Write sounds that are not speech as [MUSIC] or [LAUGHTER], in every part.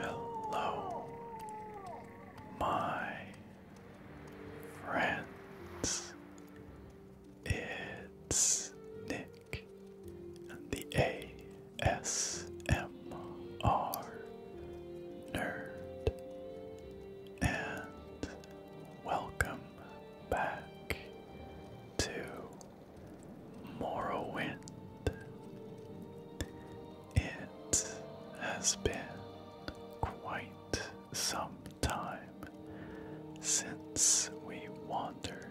Hello, my friends. It's Nick and the ASMR Nerd, and welcome back to Morrowind. It has been quite some time since we wandered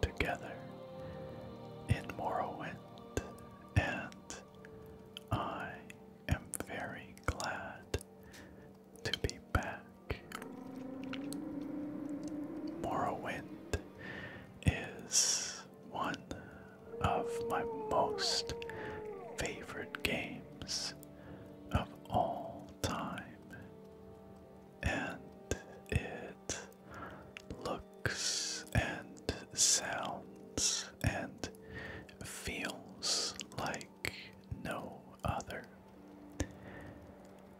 together in Morrowind, and I am very glad to be back. Morrowind is one of my most favorite games of all time, and it looks and sounds and feels like no other.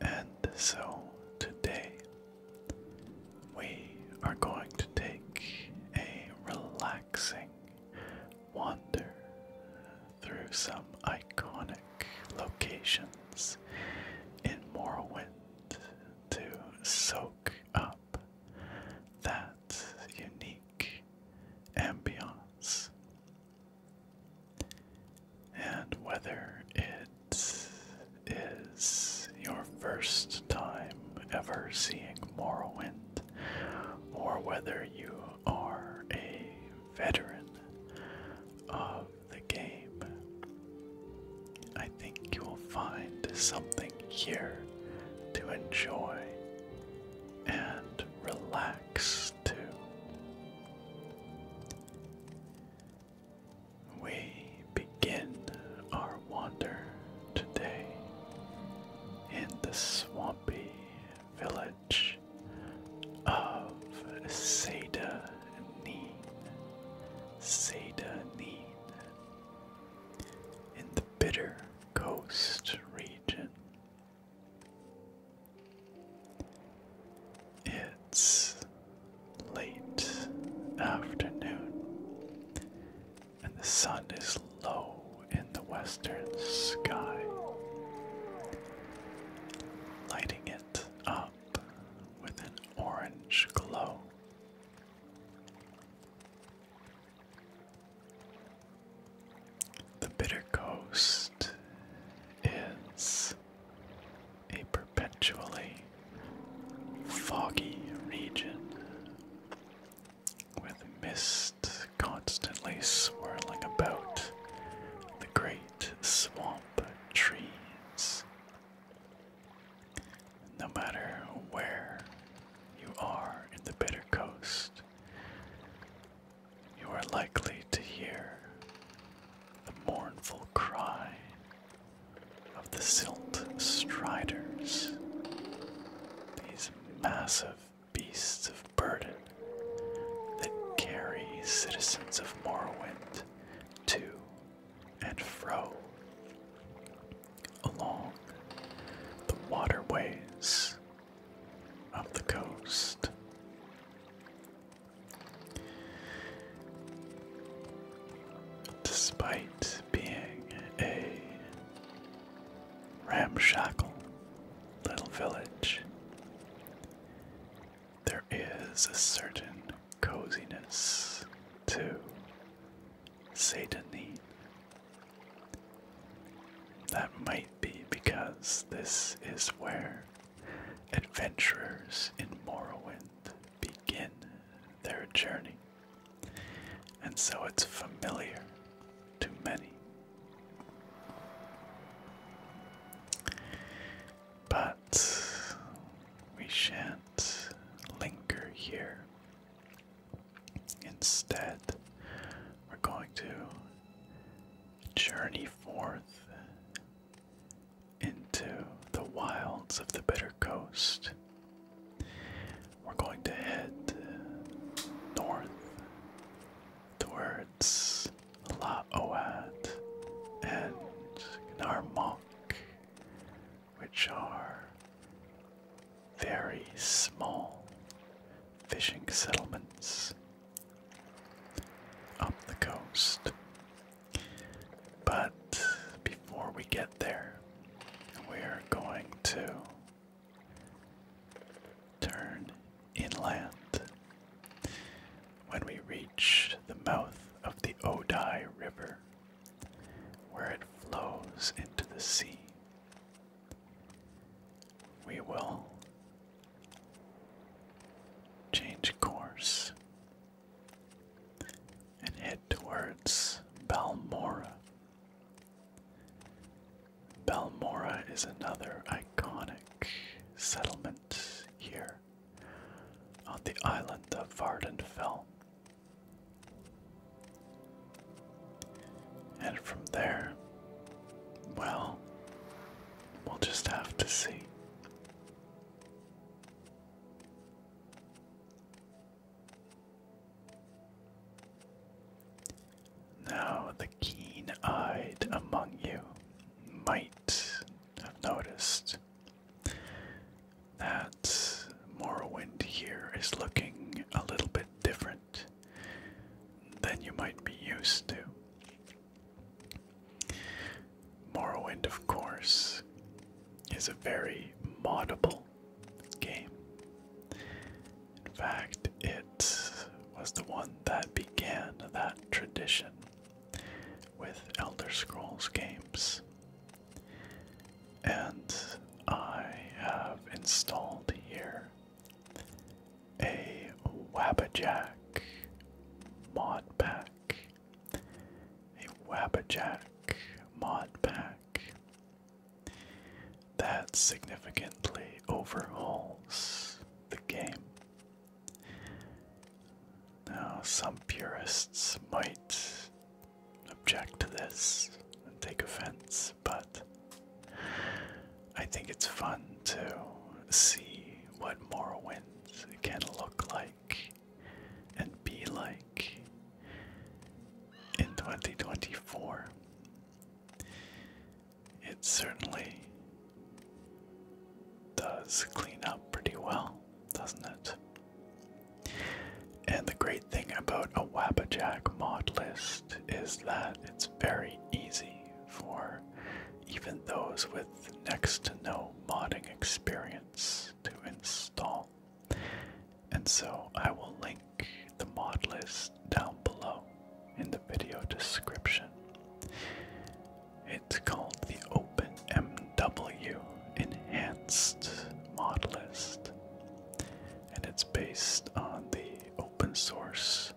And so today we are going to take a relaxing wander through some iconic locations in Morrowind to soak up that unique ambience. And whether it is your first time ever seeing Morrowind, or whether you are a veteran of the game, I think you will find something here to enjoy and relax to. We begin our wander today in the swampy village of Seda Seda, Satanine. In the bitter coast region. It's late afternoon, and the sun is low in the western sky, lighting it up with an orange glow. The Bitter Coast is a perpetually foggy region with mist constantly swirling about the great swamp trees. No matter where you are in the bitter coast, you are likely to hear the mournful cry of the silt striders, these massive beasts of burden that carry citizens of Morrowind to and fro along the waterways of the coast. Despite being a ramshackle little village, there is a certain coziness to Satanine. That might be because this is where adventurers in Morrowind begin their journey, and so it's familiar to many. But we shan't linger here. Instead, we're going to journey forth into the wilds of the Bitter Coast. We're going to head north towards La Oat and Gnarmok which are very small fishing settlements up the coast. But before we get there, we're going to turn inland when we reach the mouth of the Odai River, where it flows into the sea. We will change course and head towards Balmora. Balmora is another iconic settlement here on the island of Vardenfell. And from there, well, we'll just have to see. Now, the keen eyed among you might have noticed that Morrowind here is looking a little bit different than you might be used to. Morrowind, of course, is a very moddable game. In fact, it was the one that began that tradition with Elder Scrolls games. And I have installed here a Wabajack mod pack. A Wabajack mod pack that significantly overhauls the game. Now, some purists might object to this and take offense, but I think it's fun to see what Morrowind can look like and be like in 2024. It certainly does clean up pretty well doesn't it? And the great thing about a Wabajack mod list is that it's very easy for even those with next to no modding experience to install. And so I will link the mod list down below in the video description. It's called the OpenMW Enhanced Mod List, and it's based on the open source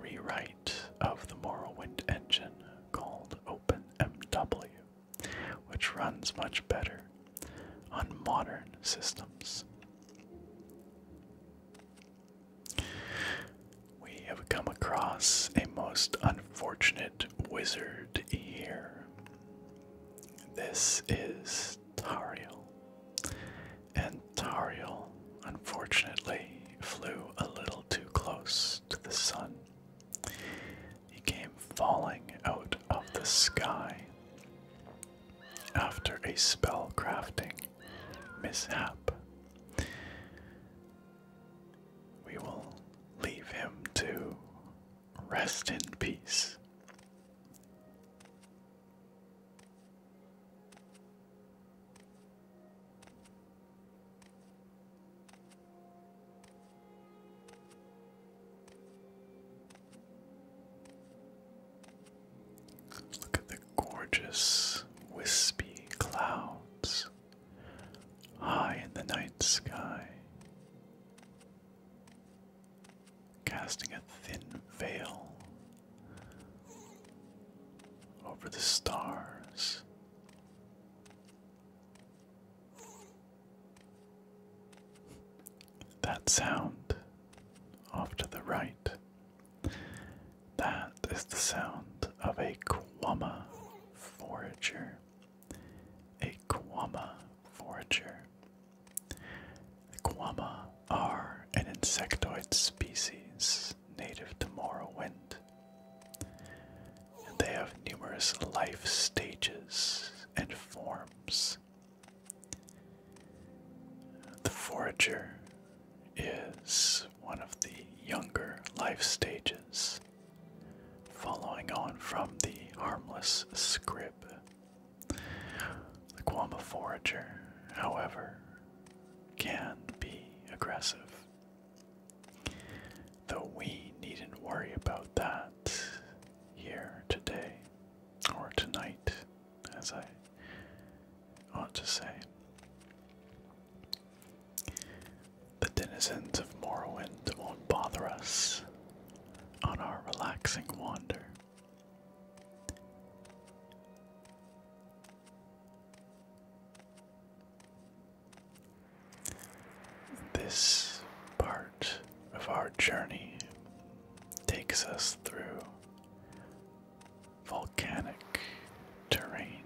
rewrite of the Morrowind engine called OpenMW, which runs much better on modern systems. We have come across a most unfortunate wizard here. This is Tariel. And Tariel, unfortunately, flew a little too close to the sun. He came falling out of the sky after a spell crafting mishap we will leave him to rest in peace. Look at the gorgeous wispy clouds high in the night sky, casting a thin veil over the stars. That sound off to the right. That is the sound of a Kwama forager, a Guama forager. Guama are an insectoid species native to Morrowind. they have numerous life stages and forms. The forager is one of the younger life stages Following on from the harmless scrib. The Guama forager, however, can be aggressive. Though we needn't worry about that here today, or tonight, as I ought to say. The denizens of Morrowind won't bother us on our relaxing wander. This part of our journey takes us through volcanic terrain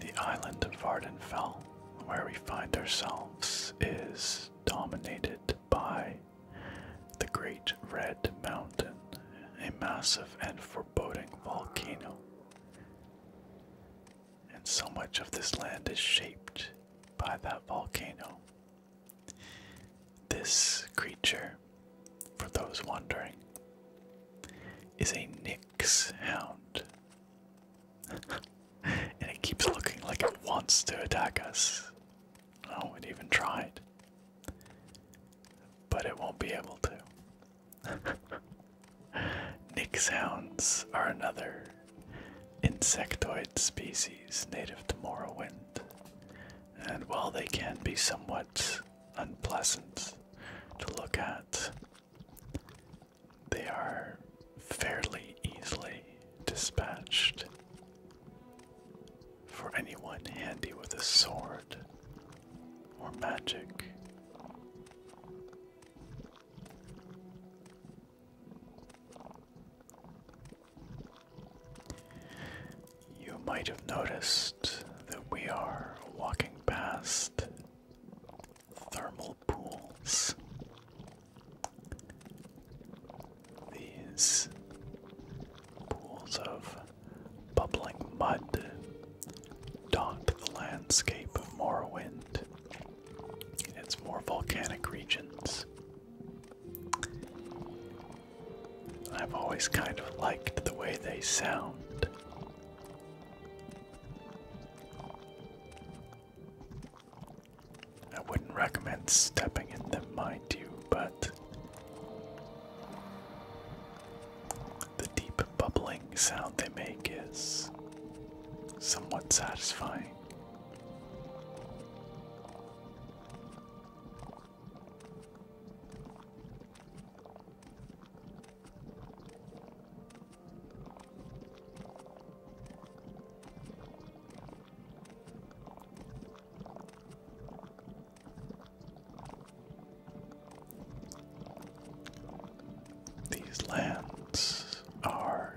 the island of Vardenfell, where we find ourselves, is dominated by the Great Red Mountain, a massive and foreboding volcano. And so much of this land is shaped by that volcano. This creature for those wondering, is a Nix hound. [LAUGHS] and it keeps looking like it wants to attack us. Oh, it even tried. But it won't be able to. [LAUGHS] Nix hounds are another insectoid species native to Morrowind. And while they can be somewhat unpleasant to look at. They are fairly easily dispatched. For anyone handy with a sword or magic. You might have noticed that we are walking past thermal pools. These pools of bubbling mud dot the landscape of Morrowind and its more volcanic regions. I've always kind of liked the way they sound. I wouldn't recommend stepping in them, mind you, but the deep bubbling sound they make is somewhat satisfying. These lands are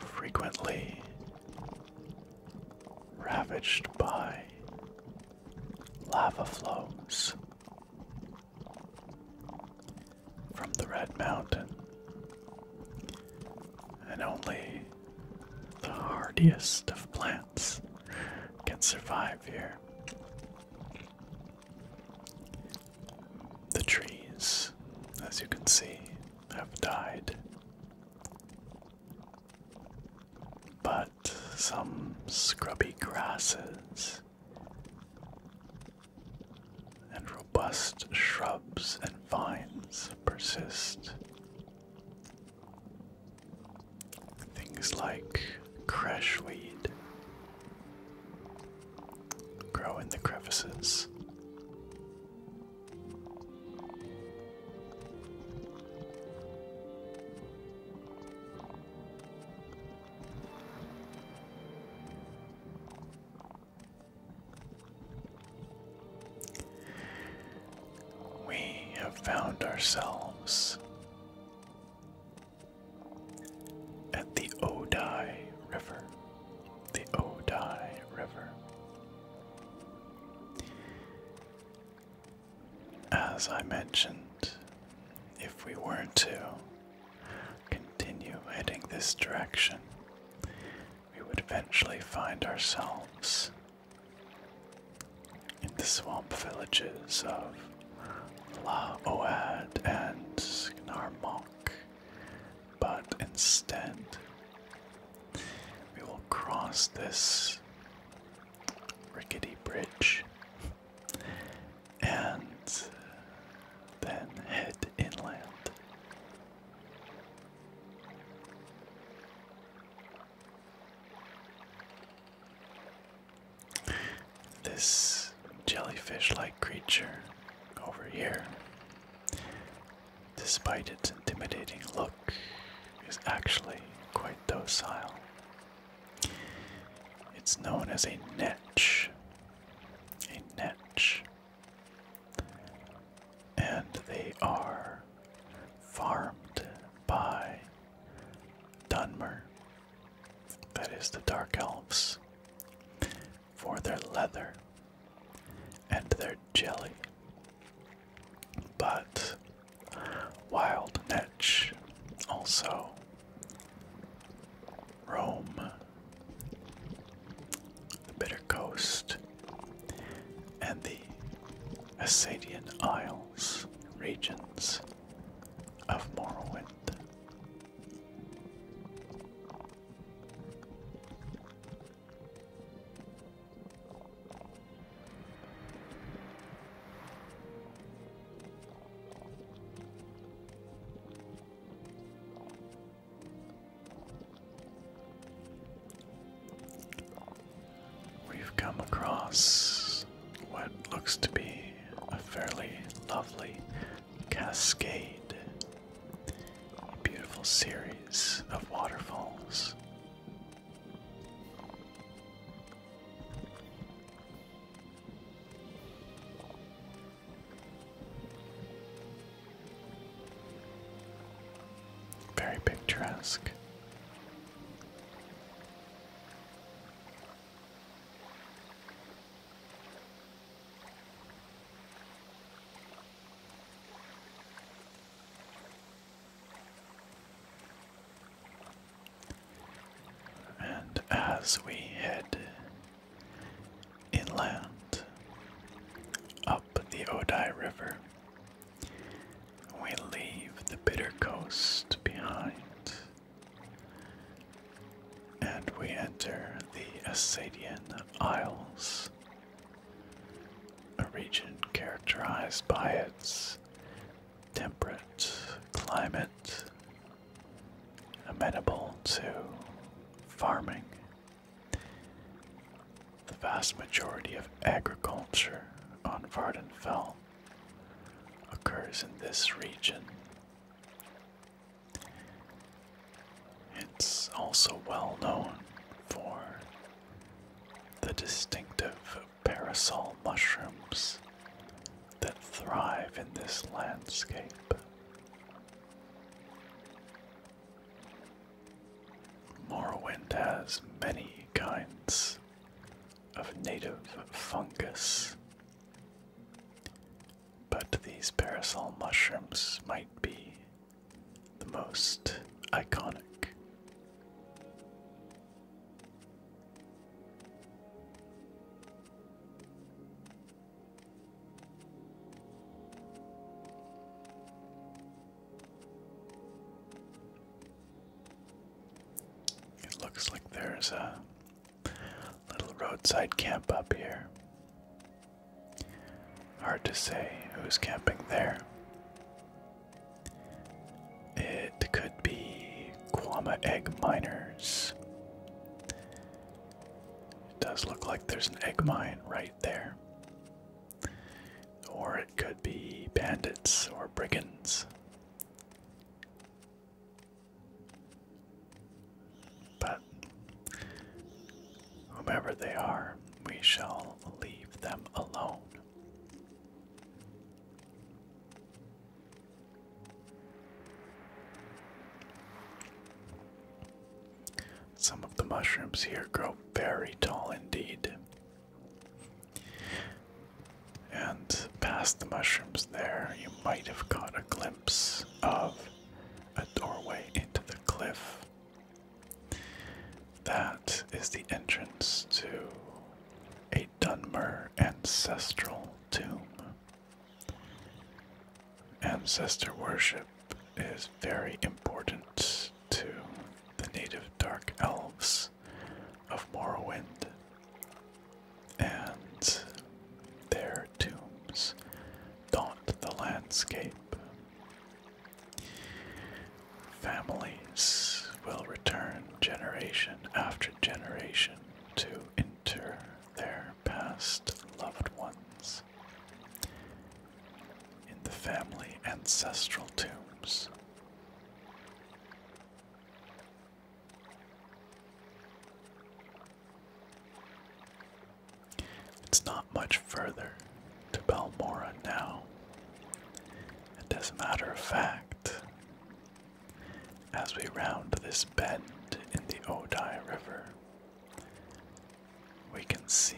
frequently ravaged by Lava flows from the Red Mountain, and only the hardiest of plants can survive here. The trees, as you can see, have died but some scrubby grasses and robust shrubs and vines persist. Things like crashweed grow in the crevices. We have found ourselves at the Odai River. The Odai River as I mentioned, if we were to continue heading this direction, we would eventually find ourselves in the swamp villages of La Oad and Snarmonk. but instead we will cross this rickety bridge and uh, then head inland. This jellyfish like creature over here, despite its intimidating look, is actually quite docile. It's known as a netch. A netch. And they are farmed by Dunmer, that is the Dark Elves, for their leather and their jelly. But Wild Netch, also Rome, the Bitter Coast, and the Assadian Isles regions of Morrowind. We've come across what looks to be a fairly lovely cascade, beautiful series of waterfalls. Very picturesque. And as we head inland up the Odai River, we leave the bitter coast behind and we enter the Assadian Isles, a region characterized by its temperate climate, amenable to farming, the vast majority of agriculture on Vardenfell occurs in this region. It's also well known for the distinctive parasol mushrooms that thrive in this landscape. Morrowind has many kinds of native fungus, but these parasol mushrooms might be the most iconic. It looks like there's a little roadside camp up here. Hard to say who's camping there. It could be Quama Egg Miners. It does look like there's an egg mine right there. Or it could be bandits or brigands. But whomever they are, we shall leave them alone. Some of the mushrooms here grow very tall indeed. And past the mushrooms there, you might have caught a glimpse of a doorway into the cliff. That is the entrance to a Dunmer ancestral tomb. Ancestor worship is very important to the native dark elves of Morrowind, and their tombs daunt the landscape. Families will return generation after generation to inter their past loved ones. In the family ancestral tombs. It's not much further to Balmora now as a matter of fact, as we round this bend in the Odai River, we can see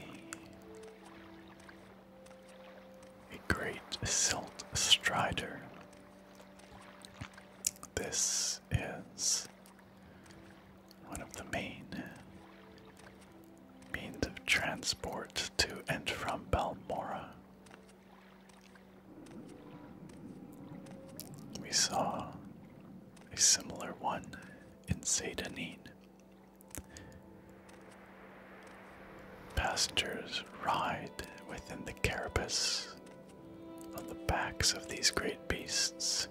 a great silt strider. This is one of the main means of transport to and from Balmora. We saw a similar one in Sedanine. Passengers ride within the carapace on the backs of these great beasts.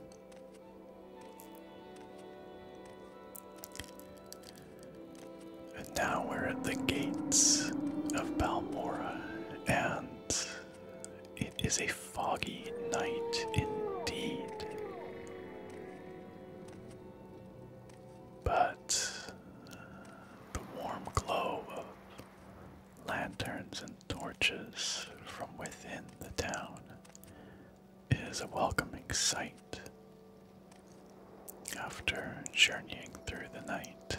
And now we're at the gates of Balmora, and it is a foggy night indeed. But the warm glow of lanterns and torches from within the town is a welcoming sight. After journeying through the night,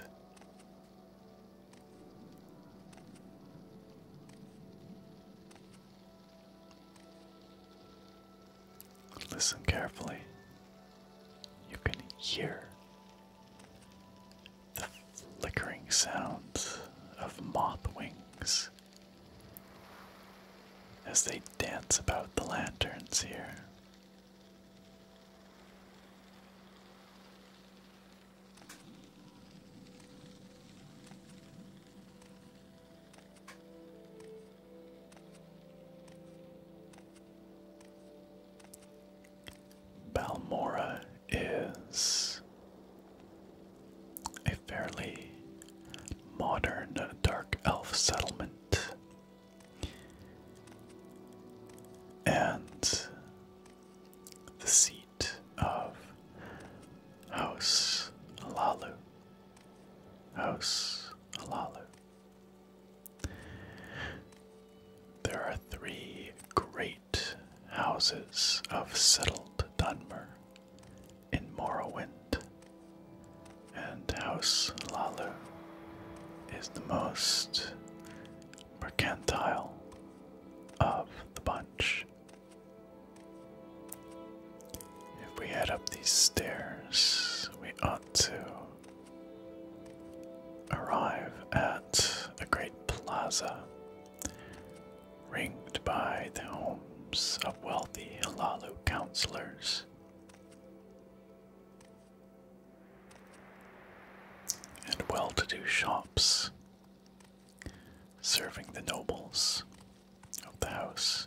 listen carefully. You can hear the flickering sounds of moth wings as they dance about the lanterns here. Balmora is a fairly modern dark elf settlement and the seat of House Alalu. House Alalu. There are three great houses of settled Dunmer in Morrowind. And House Lalu is the most mercantile of the bunch. If we head up these stairs, we ought to arrive at a great plaza ringed by the homes of wealthy Halalu councillors and well to do shops serving the nobles of the house.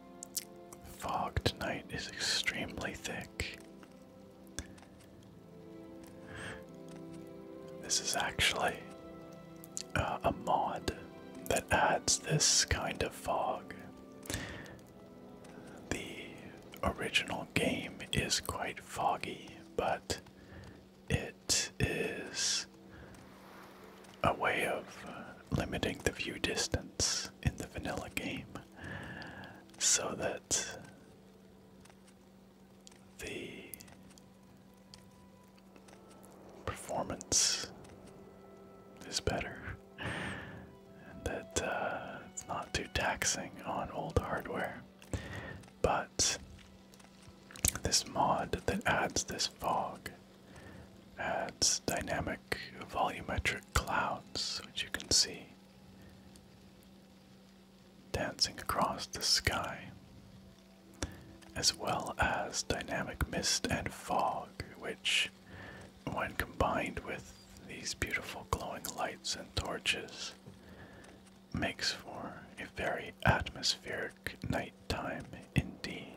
The fog tonight is extremely thick. This is actually uh, a mod that adds this kind of fog. The original game is quite foggy, but it is a way of limiting the view distance in the vanilla game so that the performance is better and that uh, it's not too taxing on old hardware. But this mod that adds this fog adds dynamic volumetric clouds, which you can see dancing across the sky, as well as dynamic mist and fog, which, when combined with these beautiful glowing lights and torches, makes for a very atmospheric nighttime indeed.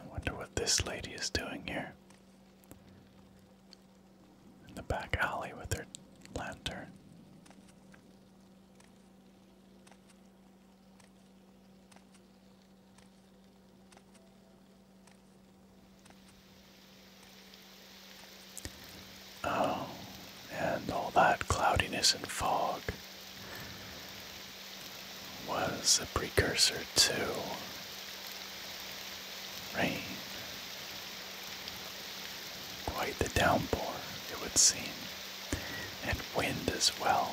I wonder what this lady is doing here. In the back alley with her lantern. Oh, and all that cloudiness and fog was a precursor to rain. Quite the downpour, it would seem, and wind as well.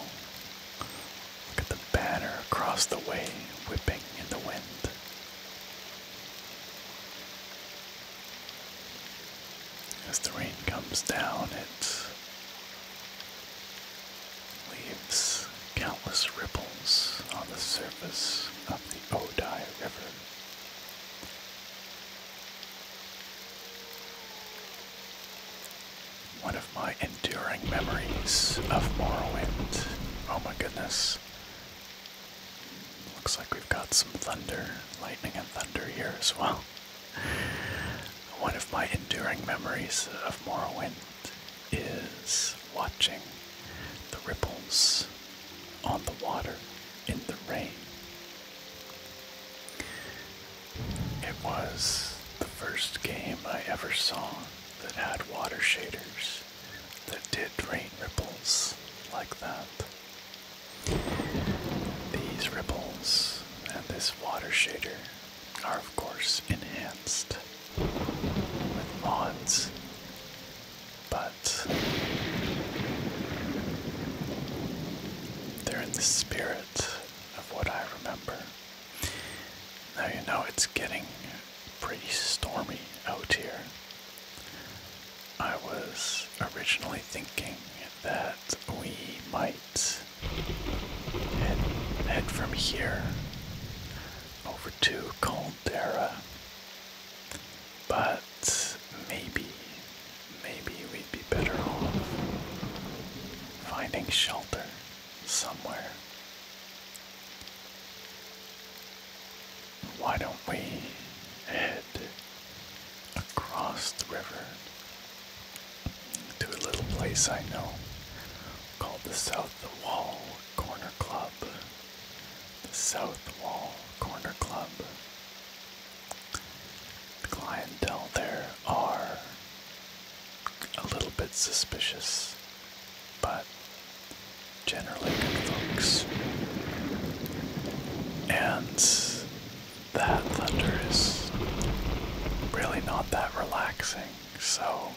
Look at the banner across the way whipping in the wind. As the rain comes down, it leaves countless ripples on the surface of the Odai River. One of my enduring memories of Morrowind, oh my goodness, Looks like we've got some thunder, lightning and thunder here as well. [LAUGHS] One of my enduring memories of Morrowind is watching the ripples on the water in the rain. It was the first game I ever saw that had water shaders. The did rain ripples like that. These ripples and this water shader are, of course, enhanced with mods, but they're in the spirit of what I remember. Now you know it's getting pretty stormy out here. I was originally thinking that we might head, from here over to Caldera, but maybe, maybe we'd be better off finding shelter somewhere why don't we head across the river to a little place I know called the South Wall Corner Club? The South Wall Corner Club. The clientele there are a little bit suspicious but generally good folks. And that thunder is really not that relaxing, so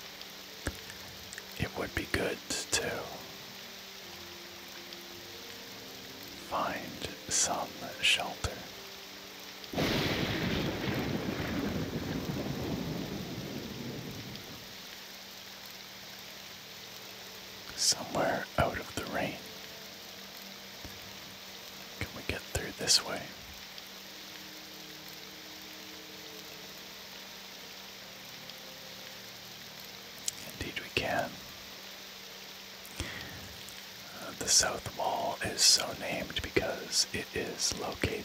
it would be good to find some shelter. Somewhere out of the rain. Can we get through this way? Indeed, we can. Uh, the south wall is so named because it is located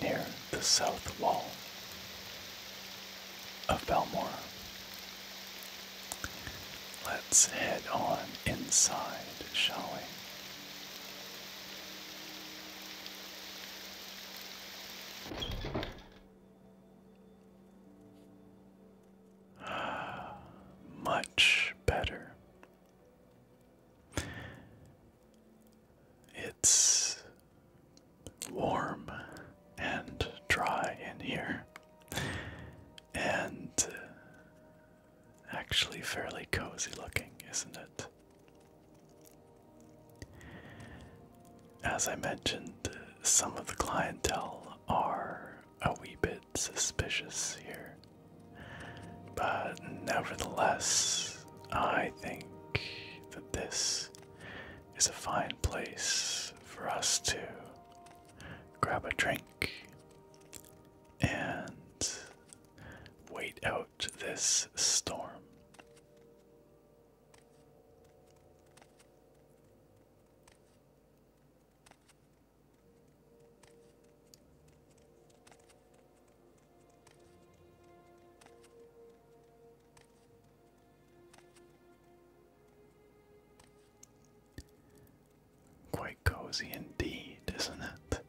near the south wall of Belmore. Let's head on inside, shall we? [SIGHS] Much better. It's warm and dry in here, and uh, actually fairly cozy looking, isn't it? As I mentioned, uh, some of the clientele are a wee bit suspicious here. But nevertheless, I think that this is a fine place for us to grab a drink and wait out this storm. Quite cozy indeed, isn't it?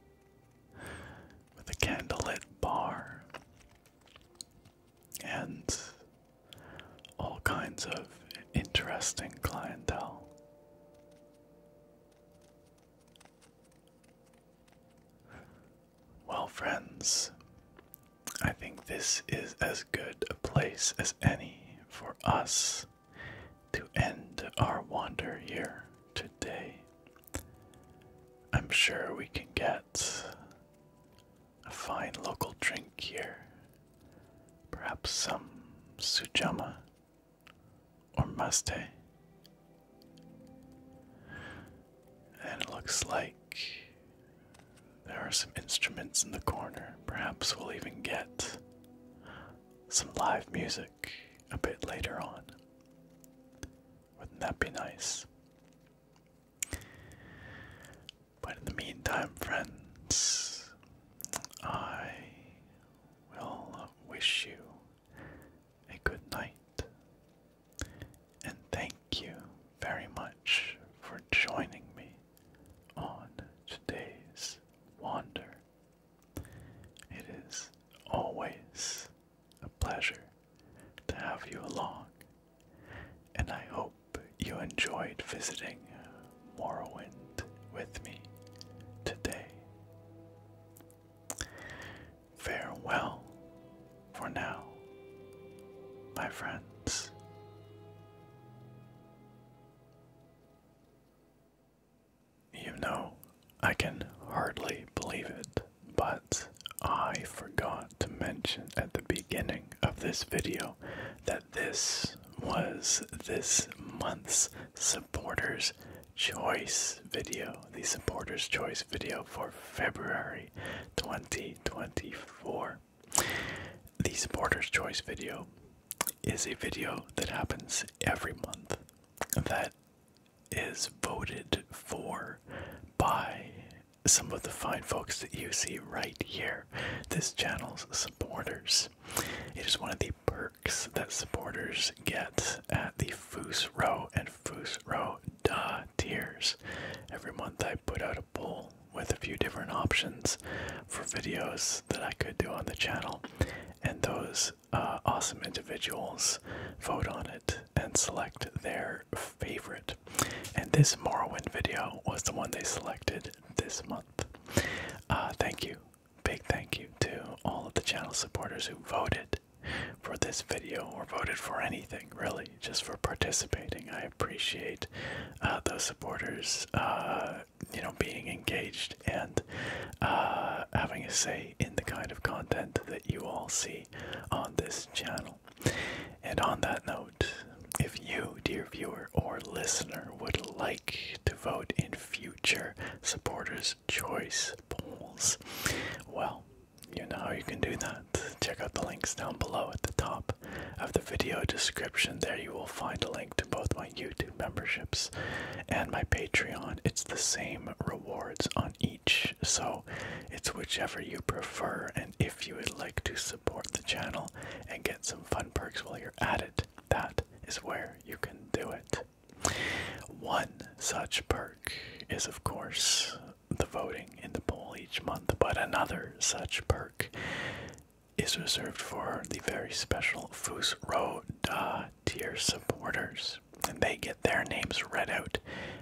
With a candlelit bar and all kinds of interesting clientele. Well, friends, I think this is as good a place as any for us to end our wander here today. I'm sure we can get a fine local drink here, perhaps some sujama or maste. And it looks like there are some instruments in the corner. Perhaps we'll even get some live music a bit later on. Wouldn't that be nice? But in the meantime, friends, I will wish you a good night and thank you very much for joining me on today's wander. It is always a pleasure to have you along, and I hope you enjoyed visiting Morrowind with me today. Farewell for now, my friends. You know, I can hardly believe it, but I forgot to mention at the beginning of this video that this was this month's supporters choice video, the supporters choice video for February 20 2024. The Supporters' Choice video is a video that happens every month that is voted for by some of the fine folks that you see right here, this channel's supporters. It is one of the perks that supporters get at the Foos Row and Foos Row uh, tiers. Every month I put out a poll with a few different options for videos that I could do on the channel, and those uh, awesome individuals vote on it and select their favorite. And this Morrowind video was the one they selected this month. Uh, thank you, big thank you to all of the channel supporters who voted for this video or voted for anything really just for participating. I appreciate uh, those supporters, uh, you know, being engaged and uh, having a say in the kind of content that you all see on this channel. And on that note, if you, dear viewer or listener, would like to vote in future supporters' choice polls, well, you know how you can do that. Check out the links down below at the top of the video description. There you will find a link to both my YouTube memberships and my Patreon. It's the same rewards on each, so it's whichever you prefer. And if you would like to support the channel and get some fun perks while you're at it, that is where you can do it. One such perk is, of course, the voting in the poll each month, but another such perk is reserved for the very special Foos Row Da tier supporters. And they get their names read out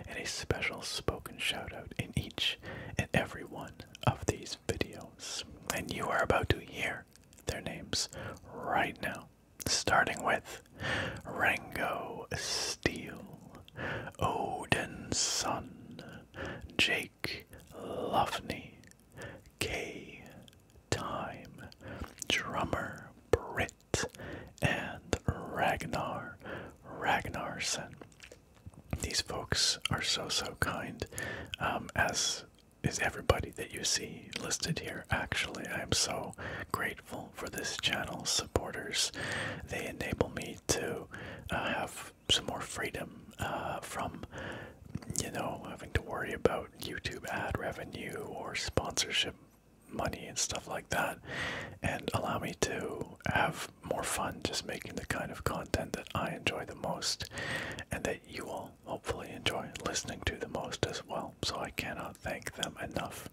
and a special spoken shout out in each and every one of these videos. And you are about to hear their names right now, starting with Rango Steele, Odin's son, Jake Lofney, K. Time, drummer Britt, and Ragnar Ragnarsson. These folks are so so kind, um, as is everybody that you see listed here. Actually, I am so grateful for this channel, supporters. They enable me to uh, have some more freedom uh, from, you know, having to worry about YouTube ad revenue or sponsorship money and stuff like that, and allow me to have more fun just making the kind of content that I enjoy the most and that you all hopefully enjoy listening to the most as well. So I cannot thank them enough.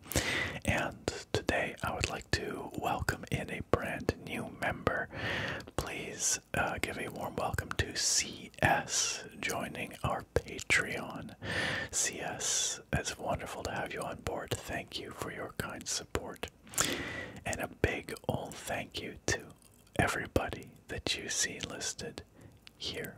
And today I would like to welcome in a brand new member. Please uh, give a warm welcome to CS joining our Patreon. CS, it's wonderful to have you on board. Thank you for your kind support. And a big old thank you to everybody that you see listed here.